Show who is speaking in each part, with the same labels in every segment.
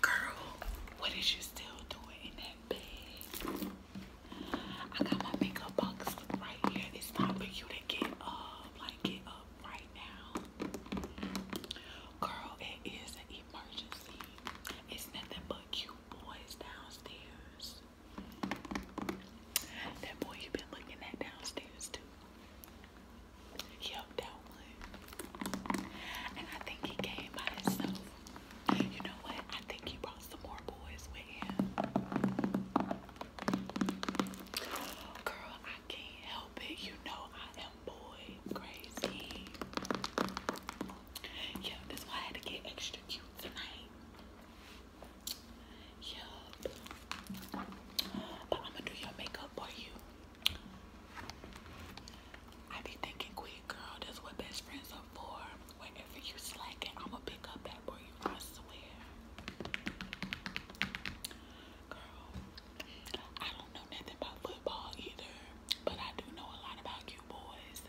Speaker 1: Girl, what is you still doing in that bed? I got my makeup box right here. It's time for you to get up. Like, get up right now. Girl, it is an emergency. It's nothing but cute boys downstairs. That boy you've been looking at downstairs, too. He helped one. And I think he came by himself. You know what? I think he brought some more boys with him. Girl, I can't help it. You know I am boy crazy. Yeah, that's why I had to get extra cute tonight. Yeah. But I'm gonna do your makeup for you. I be thinking quick, girl. That's what best friends are for. Whenever you slacking, I'm gonna pick up that for you. I swear. Girl, I don't know nothing about football either, but I do know a lot about you boys.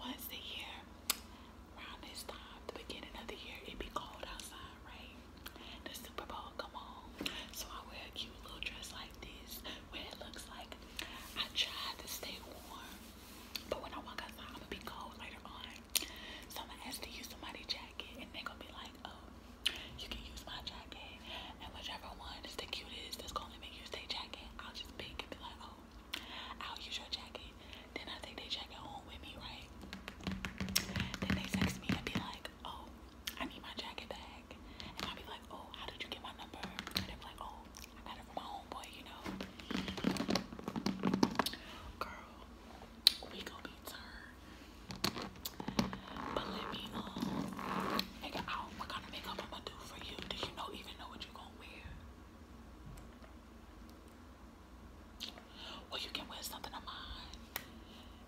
Speaker 1: What's a year, around this time, the beginning of the year, it be cold outside, right? the Super Bowl come on. So I wear a cute little dress like this where it looks like I tried to stay warm. But when I walk outside, I'm gonna be cold later on. So I'm gonna ask to use somebody's jacket and they're gonna be like, oh, you can use my jacket. And whichever one is the cutest that's gonna make you stay jacket, I'll just peek and be like, oh, I'll use your jacket. Then I think they check it on with me, right? Then they text me and be like, oh, I need my jacket back. And i be like, oh, how did you get my number? And they'll like, oh, I got it from my homeboy, you know. Girl, we going be turned. But let me um, figure out what kind of makeup I'm gonna do for you. Do you know even know what you're wear? Well, you can wear something of mine.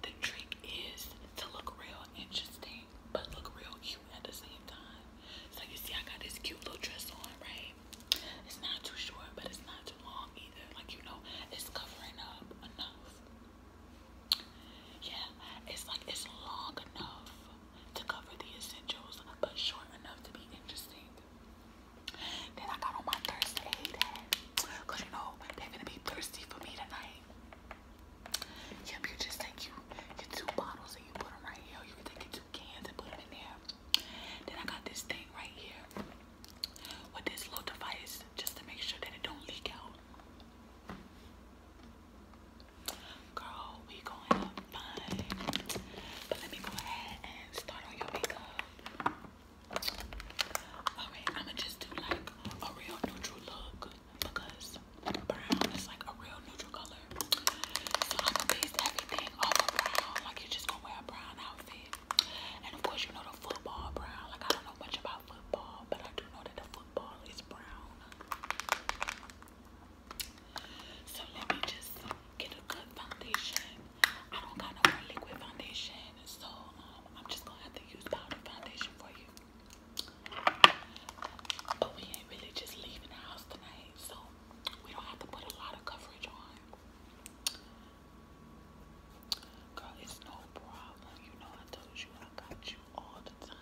Speaker 1: The trick is to look real interesting, but look real cute at the same time. So you see, I got this cute little dress on, right? It's not too short, but it's not too long either. Like you know, it's covering up enough. Yeah, it's like it's long enough to cover the essentials, but short enough to be interesting. Then I got on my thirst you know, they're gonna be thirsty for me tonight. Yep, you just take you your two bottles and you put them right here. You take two cans and put them in there. Then I got this thing right here with this little device just to make sure that it don't leak out. Girl, we going up fine. But let me go ahead and start on your makeup. Okay, I'm gonna just do like a real neutral look because brown is like a real neutral color. So I'm gonna base everything off brown. Like you're just gonna wear a brown outfit. And of course, you know the football brown. Like I don't know much about football, but I do know that the football is brown. So let me just get a good foundation. I don't kind of wear liquid foundation, so um, I'm just gonna have to use powder foundation for you. But we ain't really just leaving the house tonight, so we don't have to put a lot of coverage on. Girl, it's no problem. You know I told you I got you all the time.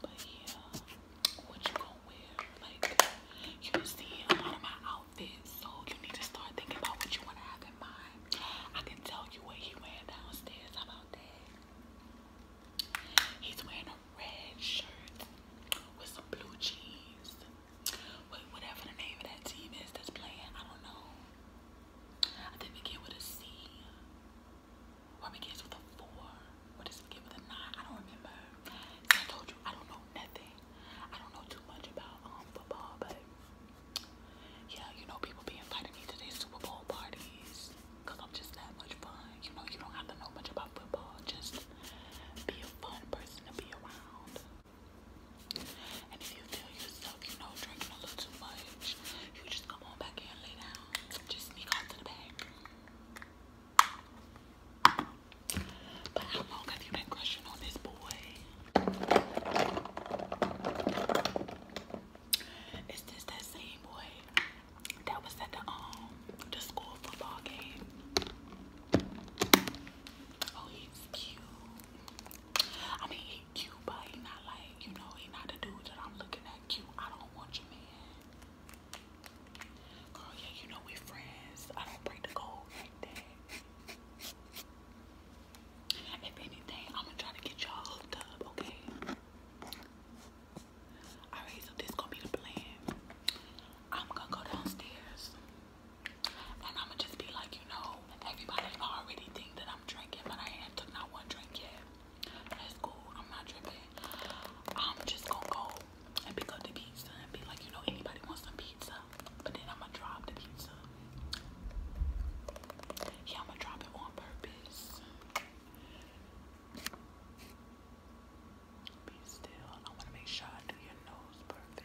Speaker 1: But yeah, what you gonna wear? Like, you see a lot of my outfits, so you need to start thinking about what you wanna have in mind. I can tell you what he wearing downstairs. How about that? He's wearing a red shirt with some blue jeans. With whatever the name of that team is that's playing, I don't know. I didn't get with a C. Or begins with a four. Or does it begin with a nine? I don't remember. I told you I don't know nothing. I don't know too much about um football, but yeah, you know people be inviting me to their Super Bowl parties. i I'm just that much fun. You know, you don't have to know much about football. Just be a fun person to be around. And if you feel yourself, you know, drinking a little too much, you just come on back here lay down. Just sneak out to the back. But how long have you been crushing on this boy? Is this that same boy that was at the um the school football game? Oh, he's cute. I mean, he cute, but he not like, you know, he not the dude that I'm looking at cute. I don't want you, man. Girl, yeah, you know we friends. I don't break the code like that. If anything, I'm gonna try to get y'all hooked up, okay? Alright, so this gonna be the plan. I'm gonna go downstairs and I'm gonna just be like, you know, everybody already think that I'm drinking, but I ain't took not one drink yet that's cool. I'm not tripping. I'm just gonna go and pick up the pizza and be like, you know, anybody wants some pizza? But then I'm gonna drop the pizza. Yeah, I'm gonna drop it on purpose. Be still. I want to make sure I do your nose perfect.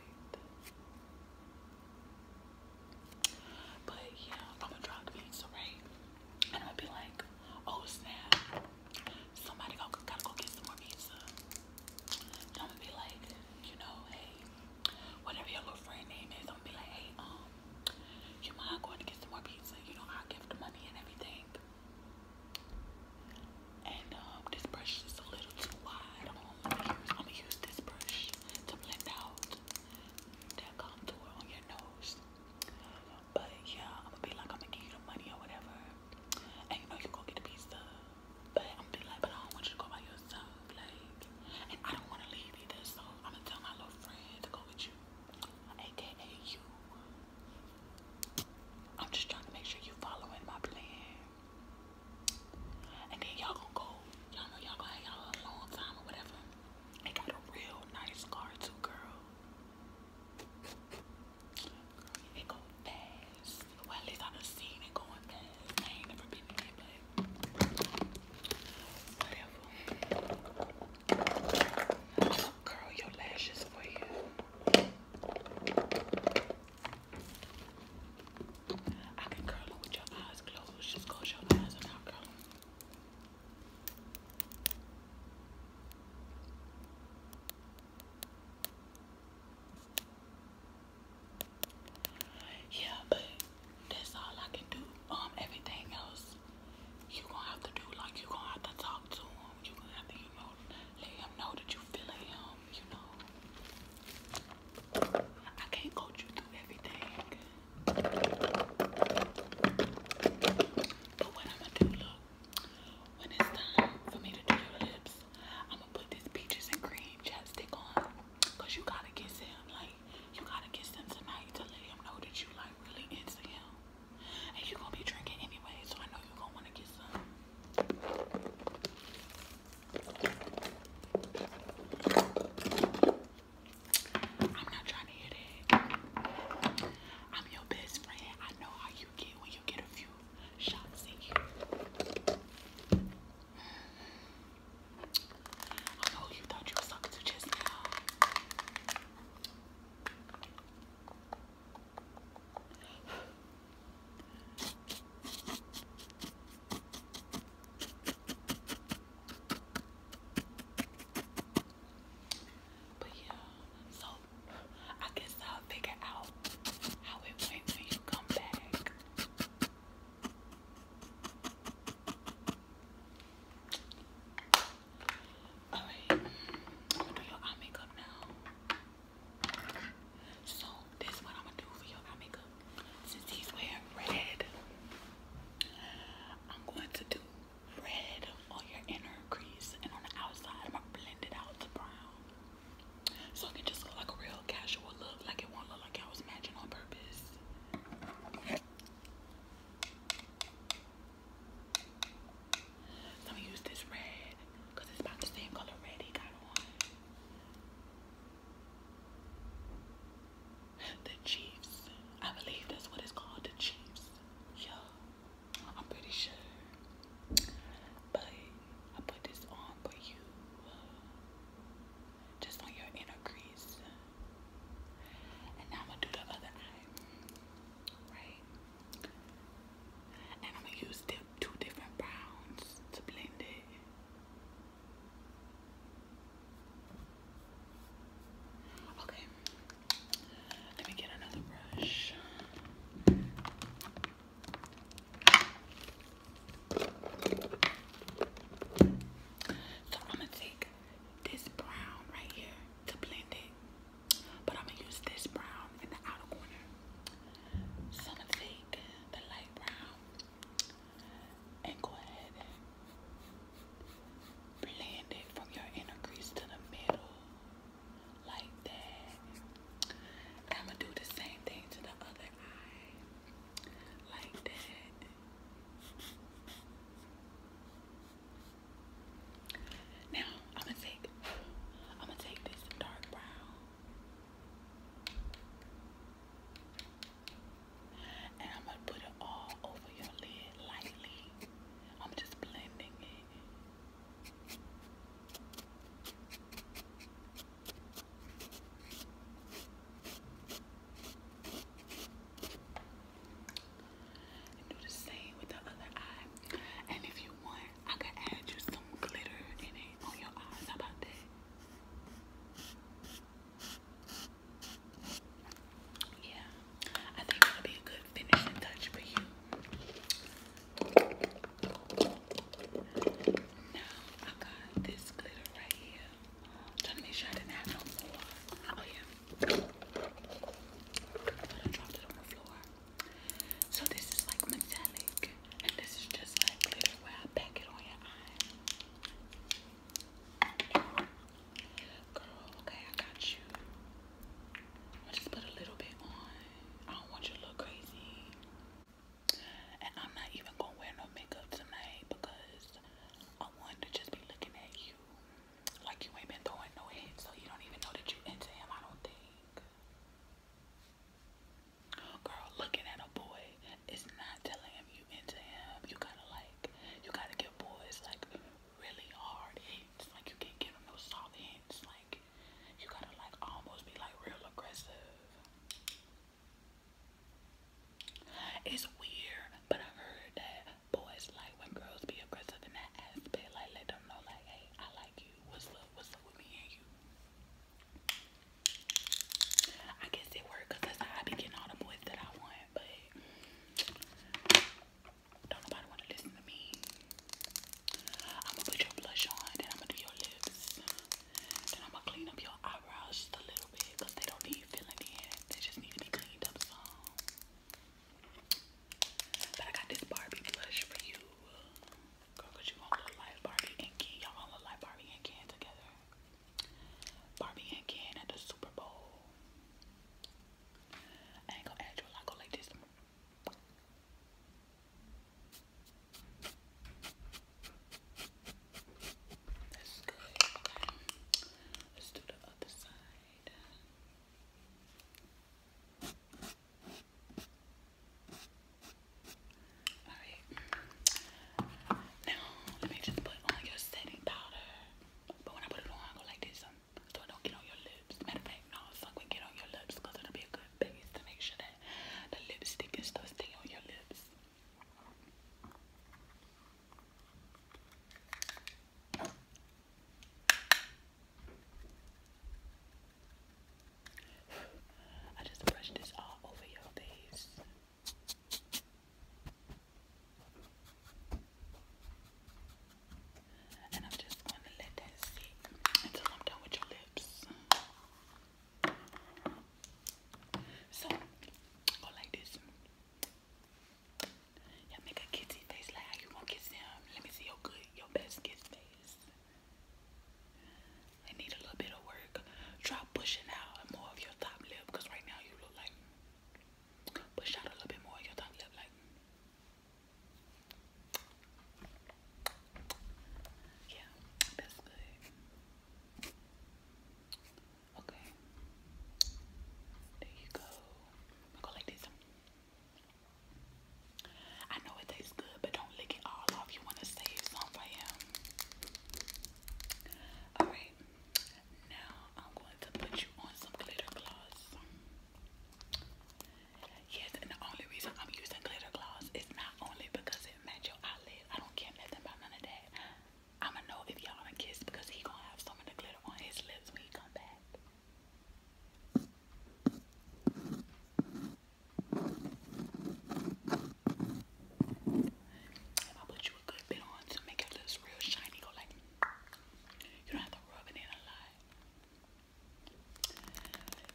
Speaker 1: But yeah, I'm gonna drop the pizza, right? And I'm gonna be like, oh snap, somebody gotta go get some more pizza. And I'm gonna be like, you know, hey, whatever your little friend name is, I'm gonna be like, hey, um, you mind going to get some more pizza? You know, I'll give the money and everything. And um, this brush is a little too wide. I'm gonna use this brush to blend out that come through on your nose. But yeah, I'm gonna be like, I'm gonna give you the money or whatever. And you know, you go get a pizza. But I'm gonna be like, but I don't want you to go by yourself. Like, and I don't wanna leave either. So I'm gonna tell my little friend to go with you, aka you. I'm just trying to make sure you following my plan. And then y'all gonna go, y'all know y'all gonna have y'all a long time or whatever. I got a real nice car too, girl. it go fast. Well, at least I done seen it going fast. I ain't never been in it, but whatever. Girl, your lashes for you. I can curl them with your eyes closed. Just close your eyes and i yeah, but that's all I can do. Um, everything else, you gonna have to do. Like you gonna have to talk to him. You gonna have to, you know, let him know that you feeling him. You know, I can't coach you through everything. But what I'm gonna do, look, when it's time for me to do your lips, I'm gonna put this peaches and cream chapstick on. Cause you gotta kiss him, like, you gotta kiss him tonight to let him know that you like really into him. And you're gonna be drinking anyway, so I know you're gonna wanna kiss him. I'm not trying to hear that. I'm your best friend. I know how you get when you get a few shots at you. I know you thought you was talking to just now. But yeah, so I guess I'll figure out how it went when you come back. Alright, I'm gonna do your eye makeup now. So, this is I'm gonna do for your eye makeup since he's wearing red, I'm going to do red on your inner crease and on the outside, I'm gonna blend it out to brown. So it can just look like a real casual look, like it won't look like I was matching on purpose. So I'm gonna use this red because it's about the same color red the Chiefs. I believe that's what it's called, the Chiefs. Yeah, I'm pretty sure. But I put this on for you. Uh, just on your inner crease. And I'm gonna do the other eye. Right? And I'm gonna use two different browns to blend it. Okay, let me get another brush. So I'm gonna take this brown right here to blend it, but I'm gonna use this brown in the outer corner. So I'm gonna take the light brown and go ahead and blend it from your inner crease to the middle like that. I'm gonna do the same thing to the other eye like that. Now I'm gonna take I'm gonna take this dark brown and I'm going to put it all over your lid lightly. I'm just blending it. And do the same with the other eye. And if you want, I can add you some glitter in it on your eyes. How about that? Yeah, I think it'll be a good finishing touch for you. Now I got this glitter right here. trying to make sure I didn't have no more. Oh yeah. So this is like metallic, and this is just like glitter where I pack it on your eye. Girl, okay, I got you. i just put a little bit on. I don't want you to look crazy. And I'm not even gonna wear no makeup tonight because I wanted to just be looking at you like you ain't been throwing no hits, so you don't even know that you into him, I don't think. Girl, looking at a boy is not telling him you into him. You gotta like, you gotta give boys like really hard hints. Like you can't give them no soft hints. Like you gotta like almost be like real aggressive. It's weird, but I heard that boys like when girls be aggressive in that aspect. Like let them know like, hey, I like you. What's up? What's up with me and you? I guess it worked because that's how I be getting all the boys that I want, but don't nobody want to listen to me. I'm gonna put your blush on, then I'm gonna do your lips, then I'm gonna clean up your eyebrows just a little bit they don't need filling in, they just need to be cleaned up some. But I got this Barbie blush for you. Girl, you want to look like Barbie and Ken. Y'all want to look like Barbie and Ken together. Barbie and Ken at the Super Bowl. ain't gonna add you, i go like this. Let's do the other side. Alright. Now, let me just put on your setting powder. But when I put it on, go like this. Um, so it don't get on your lips. Matter of fact, no, so it get on your lips it'll be a good base to make sure that the lipstick and stuff stay on your lips. I just brushed this all over your face. And I'm just going to let that sit until I'm done with your lips. So, go like this. Yeah, make a kissy face like how you gonna kiss him. Let me see your good, your best kiss face. I need a little bit of work. Try pushing out more of your top lip because right now you look like push out a little bit more your top lip like yeah, that's good. Okay. There you go. go like this. I know it tastes good, but don't lick it all off. You want to save some for him. Alright, now I'm going to put you on some glitter gloss. Yes, and the only reason I'm using glitter gloss is not only because it matches your eyelid. I don't care nothing about none of that. I'ma know if y'all gonna kiss because he gonna have some of the glitter on his lips when he come back. And I'll put you a good bit on to make it look real shiny. Go like, you don't have to rub it in a lot.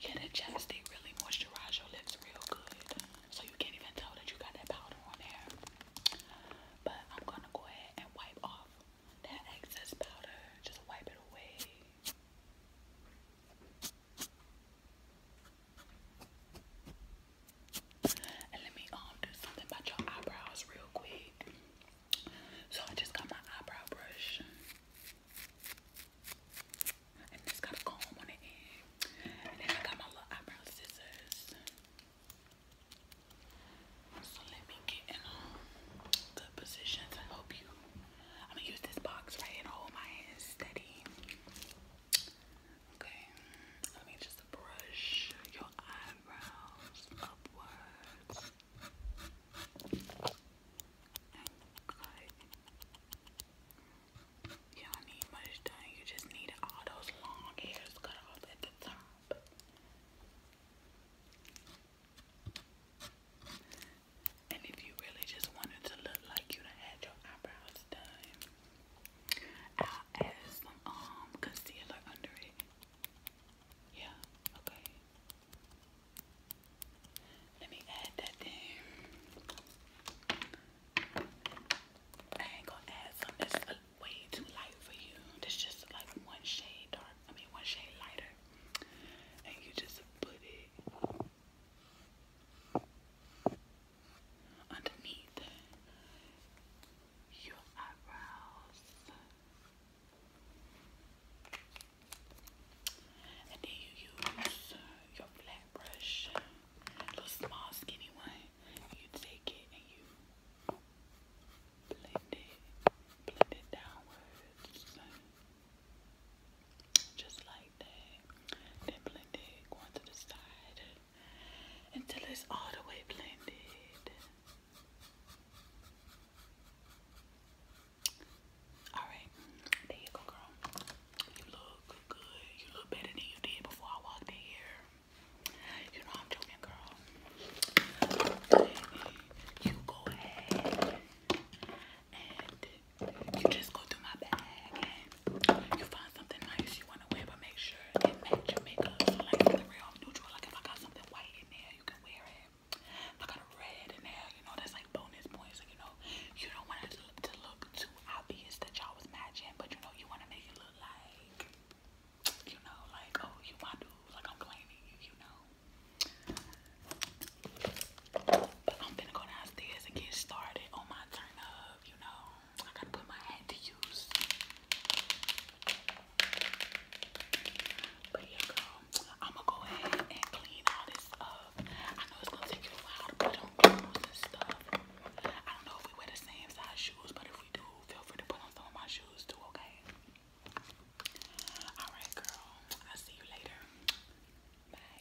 Speaker 1: Yeah, that chapstick really moisturizes your lips real good. So you can't even tell that you got that powder on there. But I'm gonna go ahead and wipe off that excess powder. Just wipe it away. And let me um do something about your eyebrows real quick. So I just got my eyebrow brush. And it got a comb on the end. And then I got my little eyebrow scissors. So let me get in um, good positions and help you. I'm gonna use this box right and hold my hands steady. Okay, let me just brush your eyebrows upwards. You do need much done. You just need all those long hairs cut off at the top. And if you really just wanted to look like you had your eyebrows I'll um, Let me add that then. I ain't gonna add some that's way too light for you. That's just like one shade dark, I mean one shade lighter. And you just put it underneath your eyebrows, and then you use your flat brush, little small skinny one. You take it and you blend it, blend it downwards. Just like that. Then blend it, going to the side until it's all the way blended. Alright, there you go, girl. You look good. You look better than you did before I walked in here. You know I'm joking, girl. You go ahead you just go through my bag and you find something nice you want to wear, but make sure it matches your makeup. So like something real neutral, like if I got something white in there, you can wear it. If I got a red in there, you know, that's like bonus points. Like, you know, you don't want it to look, too obvious that y'all was matching, but you know, you want to make it look like, you know, like, oh, you my dude, like I'm claiming you, you know. But I'm gonna go downstairs and get started on my turn up, you know. I gotta put my hat to use. But yeah, girl, I'm gonna go ahead and clean all this up. I know it's gonna take you a while to put on clothes and stuff. I don't know if we wear the same size shoes, but if we do, feel free to put on some of my shoes too, okay? Alright, girl, I'll see you later. Bye.